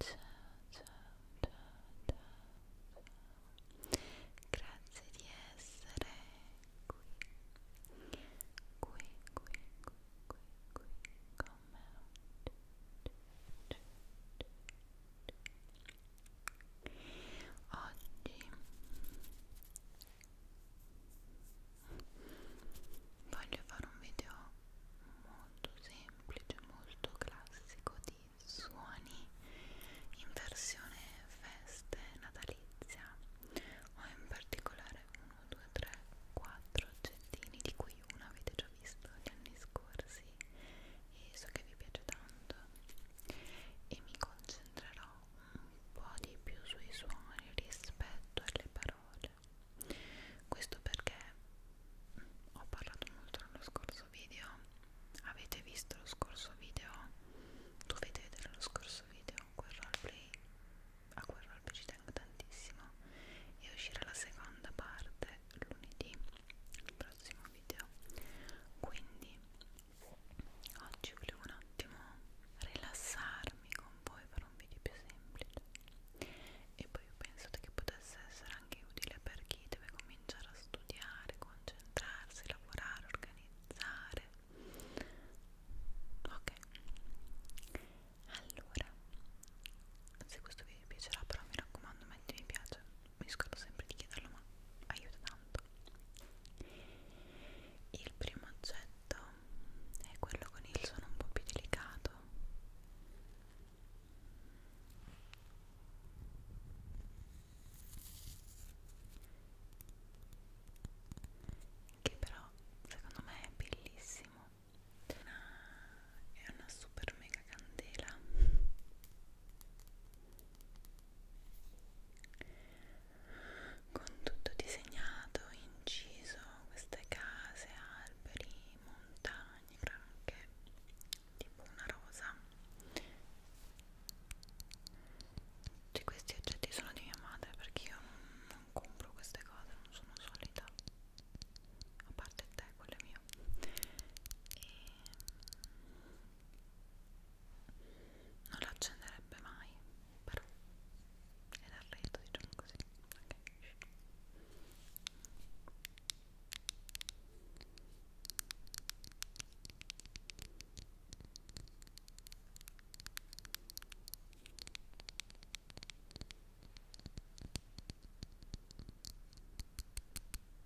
ciao, ciao, ciao, ciao. Grazie di essere qui, qui, qui, qui, qui, qui con me oggi. Oggi voglio fare un video molto semplice, molto classico di suoni in versione feste natalizia. Ho in particolare 1, 2, 3, 4 oggettini di cui uno avete già visto gli anni scorsi e so che vi piace tanto e mi concentrerò un po' di più sui suoni rispetto alle parole questo perché mm, ho parlato molto nello scorso video avete visto lo scorso video dovete vedere lo scorso video quel roleplay a quel roleplay ci tengo tantissimo e uscirà la seconda parte lunedì il prossimo video quindi oggi volevo un attimo rilassarmi con voi per un video più semplice e poi ho pensato che potesse essere anche utile per chi deve cominciare a studiare, concentrarsi, lavorare, organizzare ok allora se questo video vi piacerà però mi raccomando metti mi piace mi scordo sempre di chiederlo ma aiuta tanto il primo oggetto è quello con il suono un po' più delicato. Che però secondo me è bellissimo. Una, è una super mega candela con tutto disegnato, inciso, queste case, alberi, montagne, branche, tipo una rosa. Tutti questi oggetti sono di mia madre perché io non, non compro queste cose, non sono solita, a parte te, quello è mio. E non lo accenderebbe mai però era il reto diciamo così okay. ok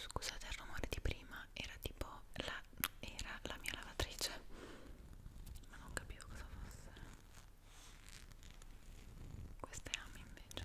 Scusate il rumore di prima, era tipo la, era la mia lavatrice, ma non capivo cosa fosse. Questa è Ami invece.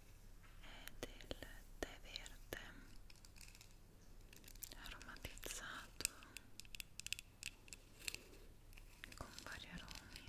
è del tè verde aromatizzato con vari aromi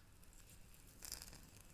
è profumatissimo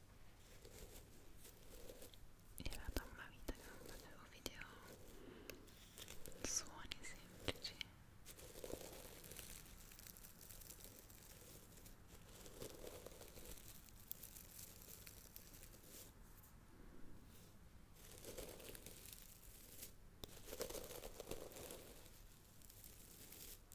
era da una vita che non facevo video suoni semplici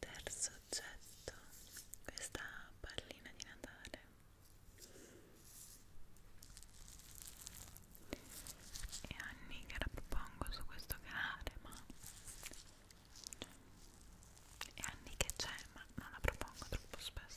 terzo oggetto questa pallina di Natale è anni che la propongo su questo canale ma è anni che c'è ma non la propongo troppo spesso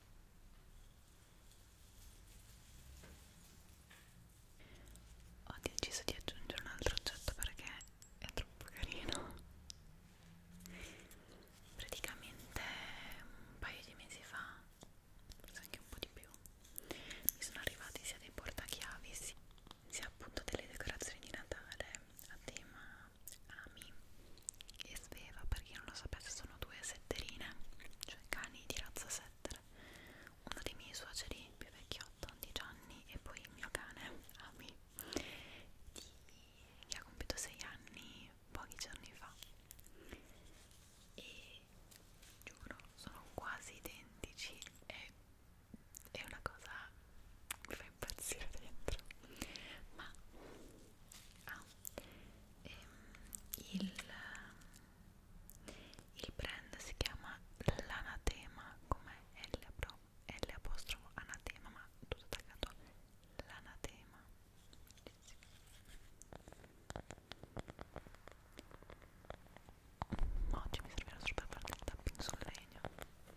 Ho deciso di aggiungere un altro oggetto perché è troppo carino. Praticamente un paio di mesi fa, forse anche un po' di più, mi sono arrivati sia dei portachiavi sia, sia appunto delle decorazioni di Natale a tema Ami e Sveva, per chi non lo sapesse sono due setterine, cioè cani di razza setter. Uno dei miei suoceri più vecchiotto di Gianni e poi il mio cane, Ami, di, che ha compiuto 6 anni pochi giorni fa. E giuro, sono quasi identici e è una cosa che mi fa impazzire dentro. Ma ah, ehm, il, il brand si chiama l'anatema come L, L apostrofo anatema ma tutto attaccato l'anatema oggi mi servirà solo per fare il tapping sul legno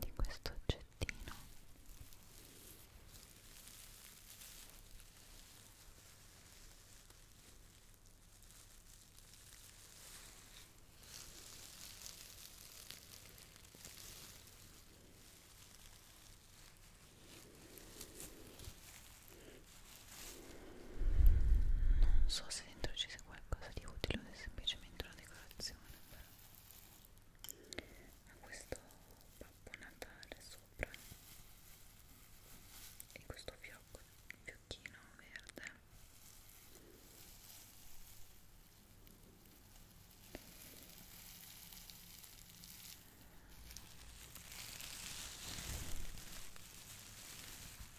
di questo oggettino non so se dentro ci sia qualcosa di utile o è semplicemente una decorazione però ha questo babbo natale sopra e questo fiocco, fiocchino verde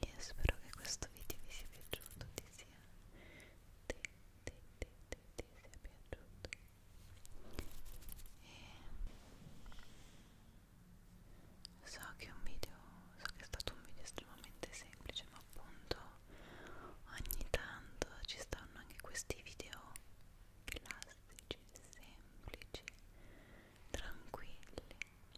io spero che questo video vi sia piaciuto ti sia, ti, ti, ti, ti, ti sia piaciuto e so che è un video so che è stato un video estremamente semplice ma appunto ogni tanto ci stanno anche questi video classici semplici tranquilli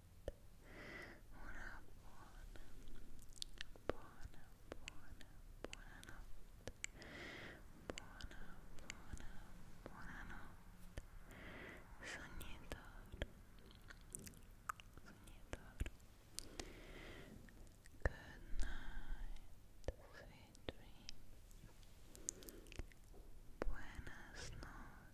una buona, buona, buona, buonanotte buona, buona, buonanotte sognatore sognatore good night, sweet dream buenas noches